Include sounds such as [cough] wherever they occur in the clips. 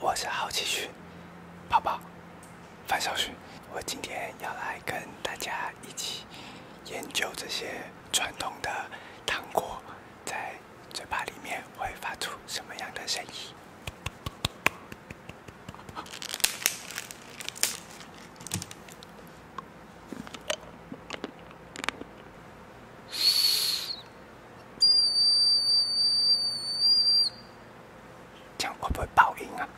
我是好奇熊宝宝，范小旭，我今天要来跟大家一起研究这些传统的糖果，在嘴巴里面会发出什么样的声音。这样会不会报应啊？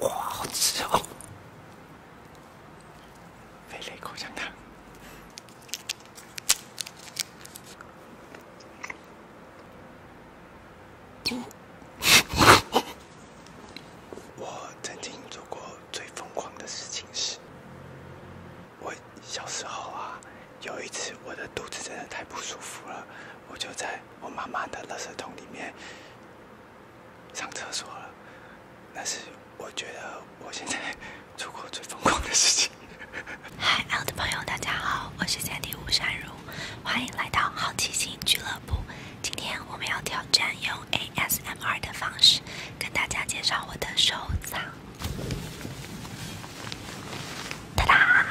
哇，好吃啊！我曾经做过最疯狂的事情是，我小时候啊，有一次我的肚子真的太不舒服了，我就在我妈妈的垃圾桶里面。上厕所了，那是我觉得我现在做过最疯狂的事情。嗨，我的朋友，大家好，我是三 D 吴善如，欢迎来到好奇心俱乐部。今天我们要挑战用 ASMR 的方式跟大家介绍我的收藏。哒哒，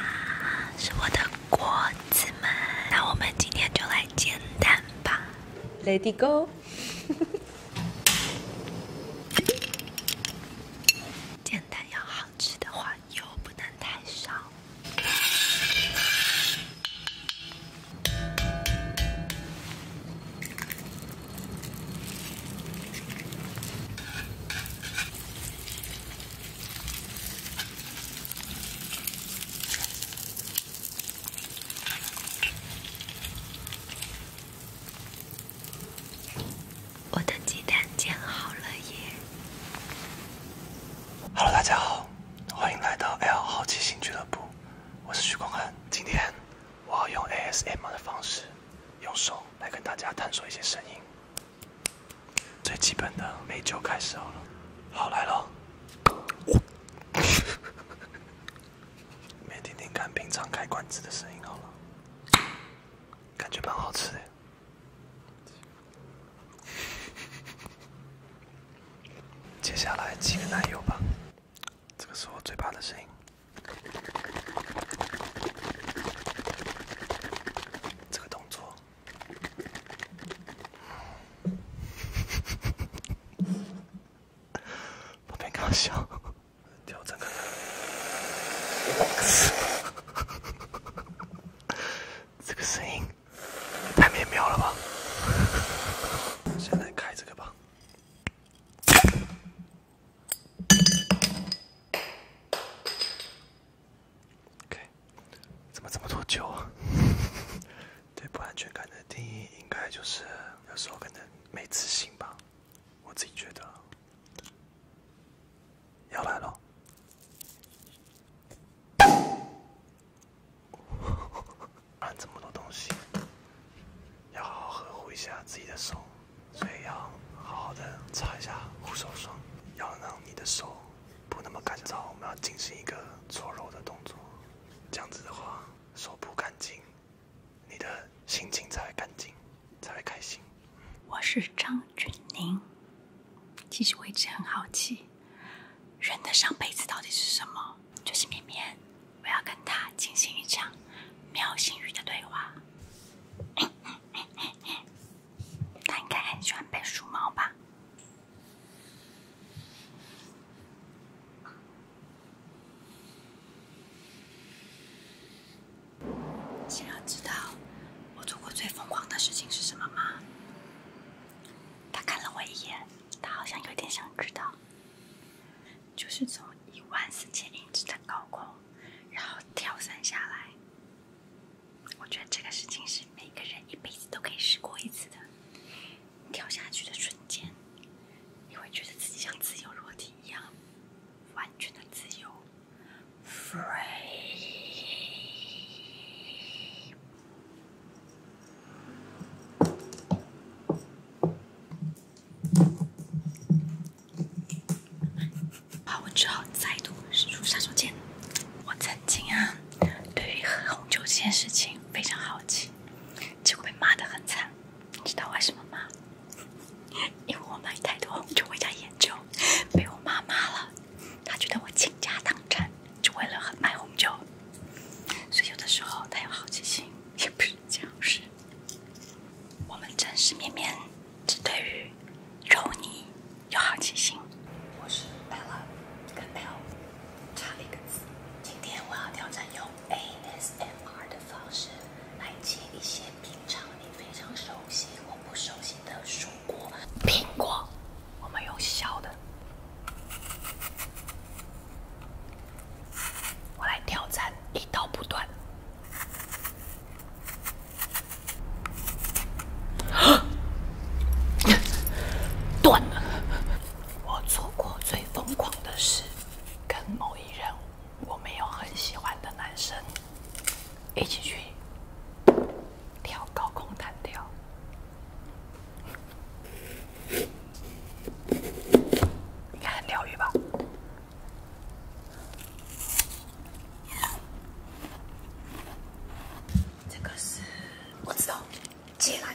是我的果子们。那我们今天就来简单吧。Let it go。简单要好吃的话，油不能太少。我的鸡蛋煎好了耶！Hello，大家好，欢迎来到 L 好奇心俱乐部，我是徐光汉。今天我要用 ASM 的方式，用手来跟大家探索一些声音。最基本的美酒开始好了，好来了。[laughs] 没听听看平常开罐子的声音好了，感觉蛮好吃的。[laughs] 接下来几个奶油吧，这个是我嘴巴的声音，这个动作。[laughs] 别搞笑，调这个，[laughs] 这个声音太美妙了吧？现 [laughs] 在开这个吧。怎么这么多酒啊？对不安全感的定义，应该就是有时候可能没自信吧，我自己觉得。要来了，搬 [laughs] 这么多东西，要好好呵护一下自己的手，所以要好好的擦一下护手霜，要让你的手不那么干燥。我们要进行一个搓揉的动作。这样子的话，手不干净，你的心情才会干净，才会开心。我是张俊宁，其实我一直很好奇，人的上辈子到底是什么？就是绵绵，我要跟他进行一场喵星语的对话。他应该很喜欢被梳毛吧。想要知道我做过最疯狂的事情是什么吗？他看了我一眼，他好像有点想知道。就是从一万四千英尺的高空，然后跳伞下来。我觉得这个事情是每个人一辈子都可以试过一次的。跳下去的瞬间，你会觉得自己像自由落体一样，完全的自由，free。好，我只好再度使出杀手锏。我曾经啊，对于喝红酒这件事情。非常好奇，结果被骂得很惨，你知道为什么吗？因为我买太多，就回家研究，被我妈骂了。她觉得我倾家荡产，就为了买红酒。所以有的时候，她有好奇心，不是，这不是。我们真实面面只对于肉泥有好奇心。我是 Bella，跟 L 差了一个字。今天我要挑战用 ASMR 的方式来切一些平常你非常熟悉或不熟悉的蔬果。苹果，我们用小的。我来挑战一刀不断。[gasps] 断了。我做过最疯狂的事，跟某一人，我没有很喜欢的男生，一起去跳高空弹跳，看，疗愈吧？这个是我知道，借来。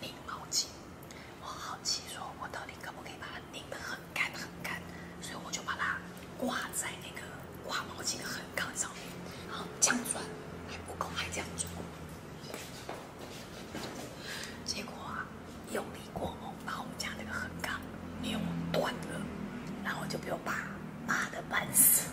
拧毛巾，我好奇说，我到底可不可以把它拧得很干很干？所以我就把它挂在那个挂毛巾的横杠上，然后这样转，还不够，还这样做。结果啊，用力过猛，把我们家那个横杠扭断了，然后就被我爸骂得半死。